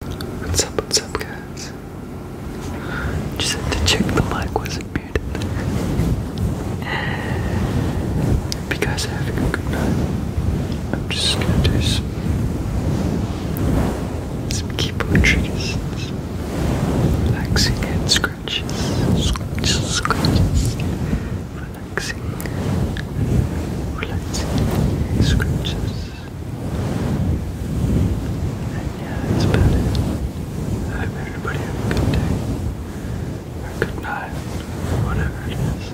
What's up, what's up, guys? Just had to check the mic wasn't muted. Hope you guys having a good night. I'm just gonna do some, some keyboard triggers, relaxing head scratches, scratches, scratches, relaxing, relaxing, scratches yeah, it's I hope everybody have a good day. Or good night. whatever it is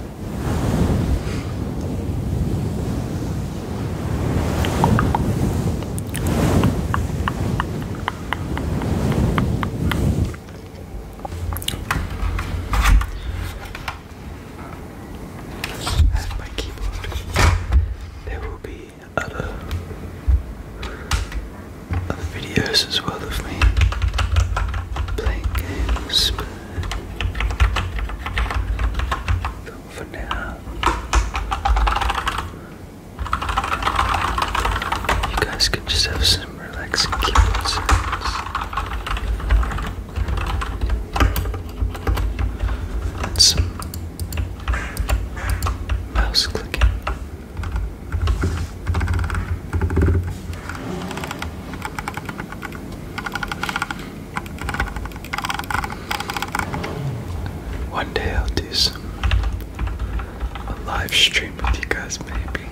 at my keyboard, there will be other, other videos as well of me playing games. But for now, you guys can just have some relaxing keyboard and some mouse clicking. One day I'll do some a live stream with you guys maybe.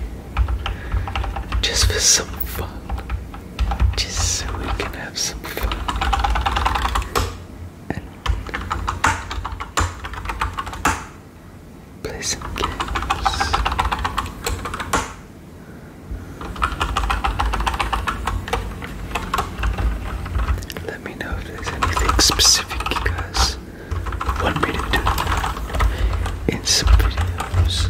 Just for some fun just so we can have some fun. And Let me know if there's anything specific you guys want me to do in some videos.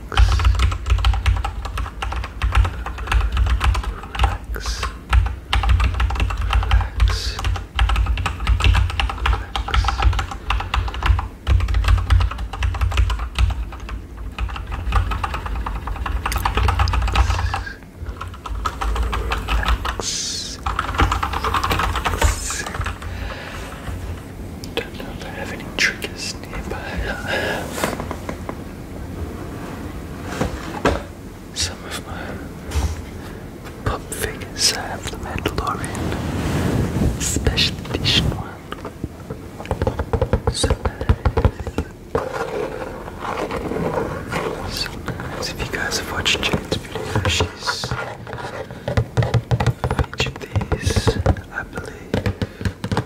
relax, relax, relax, relax. Don't know if I have any triggers nearby. Some of my pop figures I have the Mandalorian Special Edition one. So nice. So nice. If you guys have watched Jane's videos, she's featured these, I believe.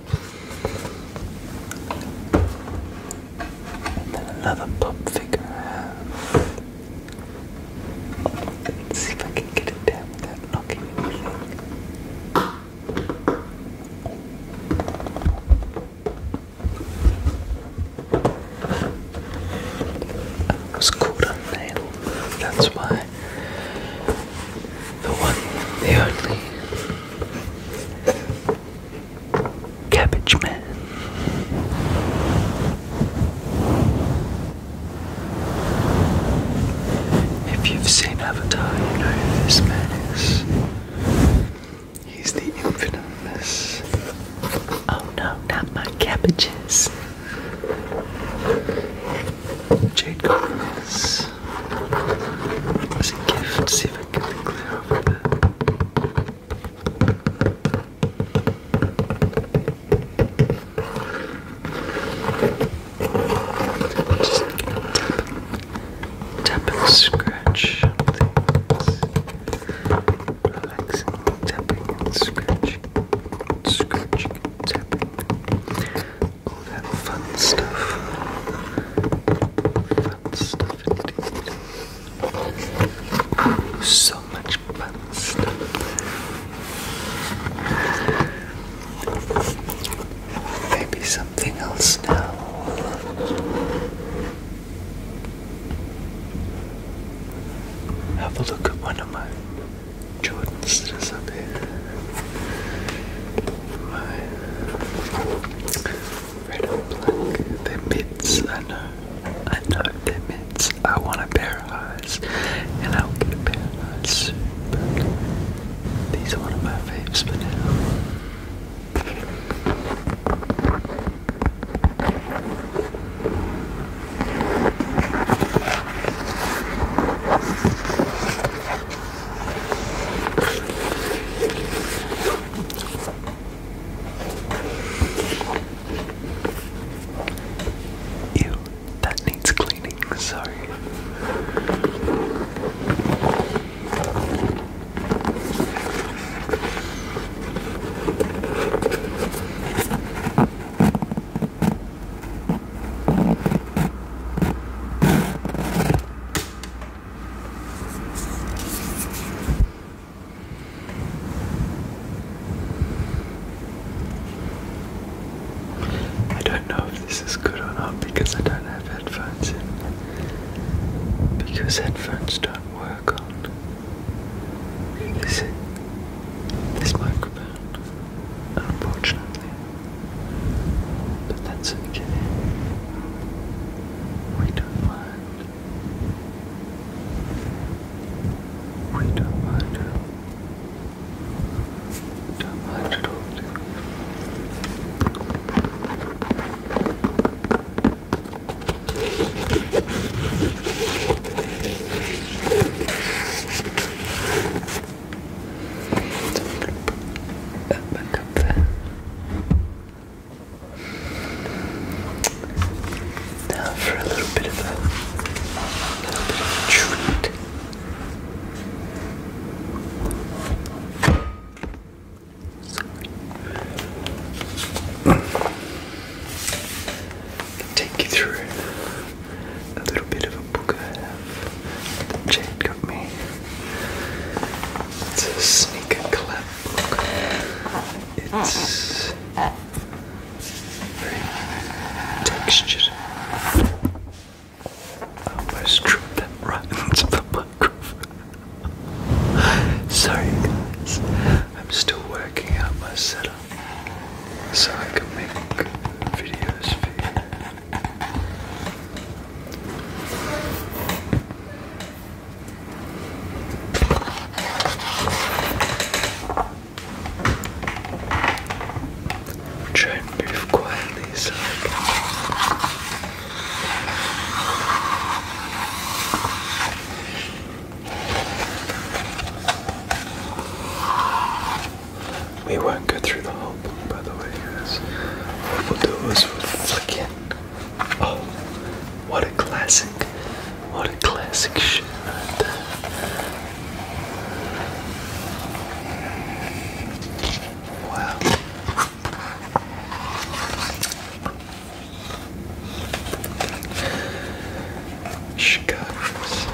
And then another pop figure Let's see if I can get it down without knocking anything. I was caught on that's why the one, the only Cabbage Man. If you've seen Avatar, you know who this man is. He's the infinimus. Oh no, not my cabbages. Jade Collins. There's a gift, see if I can clear up a bit. I'm scratch things. tapping and scratching, tapping all that fun stuff. Fun stuff indeed. so much fun stuff. Maybe something else now. Have a look at one of my Jordan's just up here. My red and black. They're I know. I know they're I want a pair of eyes. And I'll get a pair of eyes these are one of my faves for now. Ew, that needs cleaning, sorry. I don't know if this is good or not because I don't have headphones in. Because headphones don't work on this, this microphone. Unfortunately, but that's okay. We don't mind. We don't mind at don't mind at all, do now for a little bit of a, little bit of a treat. Take you through a little bit of a book I have that got me. It's a sneaker collab It's very textured. I almost dropped that right into the microphone. Sorry guys, I'm still working out my so I can make videos for you. try and move quietly so we won't go through the whole book, by the way, guys. What we Oh, what a classic! What a classic shit Wow. Chicago's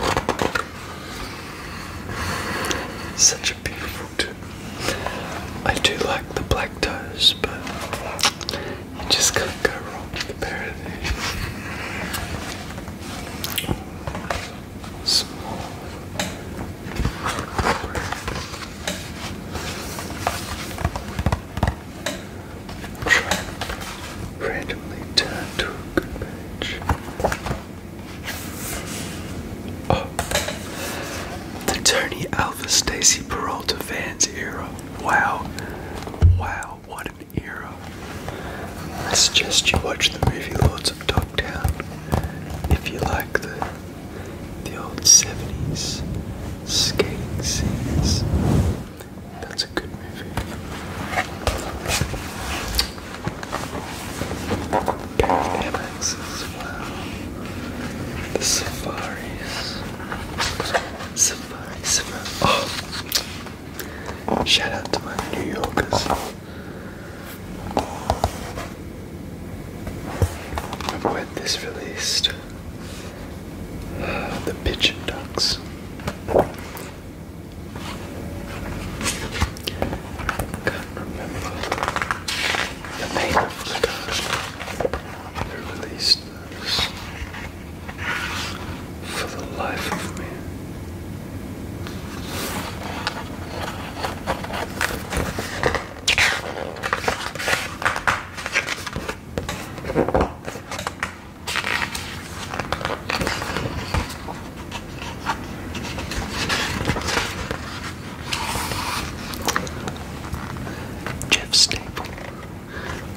such a beautiful tune. I do like the black toes, but you just can't go wrong with the paradise. Small. Breath randomly turn to a good page. Oh. The Tony Alva Stacy Peralta Vans era. Wow. Wow, what an era. I suggest you watch the movie Lords of Dogtown if you like the the old 70s skating scenes. That's a good movie. The Safaris. Safari, Safari. Oh. Shout out to my New Yorkers. When this released, the pigeon ducks. Can't remember the name of the guy who released those. For the life of me. Jeff Staple,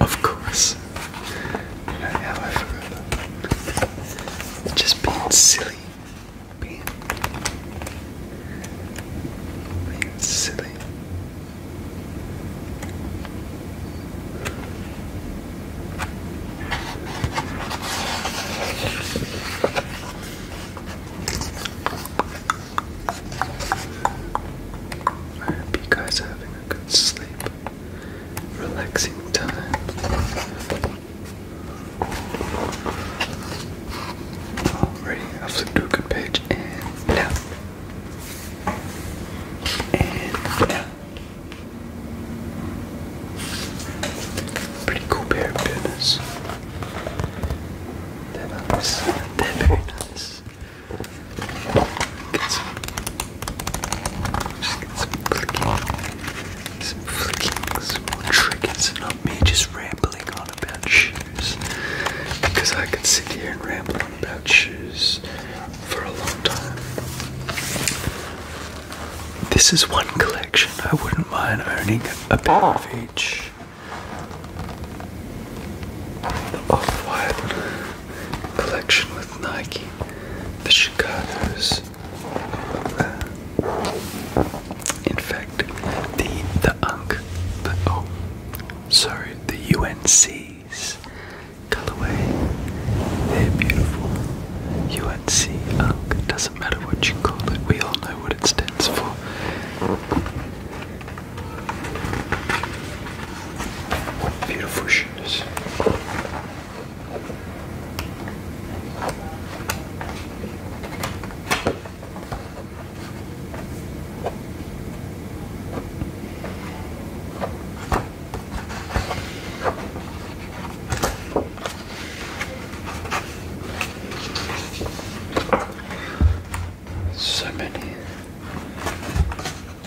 of course. I Just being silly. Being, being silly. I hope you guys are having a good sleep, relaxing time. Alrighty, I flipped to a good page and now. And yeah. Pretty cool pair of pants. They're nice. They're very nice. Get some, some flicking, some flicking, some more triggers, not me just rambling on a bench because I could sit here and ramble on about shoes for a long time. This is one collection I wouldn't mind owning a pair of ah. each. The Off-White collection with Nike, the Chicago's, in fact, the the UNC, the oh, sorry, the UNC's colorway, they're beautiful. UNC UNC doesn't matter what you call it. We all know what it stands for. What beautiful shoes. So many.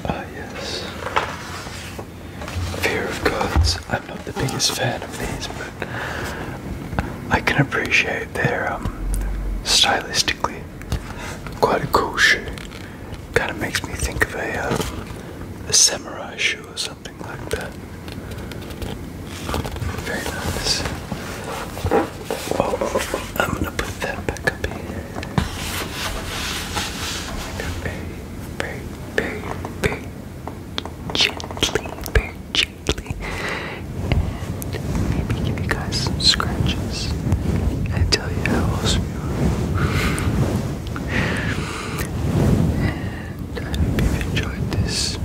Ah, yes. Fear of gods. I'm not the biggest fan of these, but I can appreciate anyway, they're um, stylistically quite a cool shoe. Kind of makes me think of um, a, samurai shoe or something like that. Very nice. Oh, I'm gonna put that back up here. Very, very, very, very gently, very and maybe give you guys some scratches and tell you how awesome you are. And I hope you've enjoyed this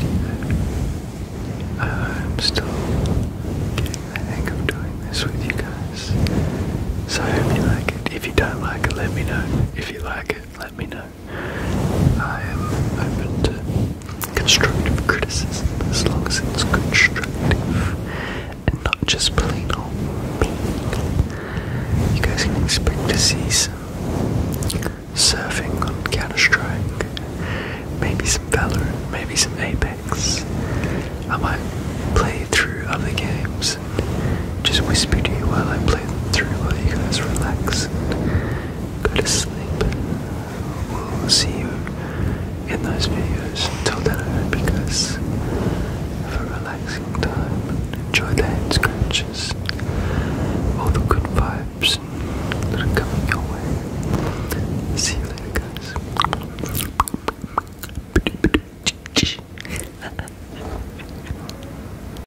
video. Uh, I'm still getting the hang of doing this with you guys. So I hope you like it. If you don't like it, let me know. If you like it, let me know. I am open to constructive criticism as long as it's constructive and not just plain old mean. You guys can expect to see some surfing on Counter-Strike, maybe some Valorant, maybe some Apex. I might play through other games and just whisper to you while I play them through while you guys relax Go to sleep. We'll see you in those videos. Until then, I hope you guys have a relaxing time. Enjoy the hand scratches. All the good vibes that are coming your way. See you later, guys.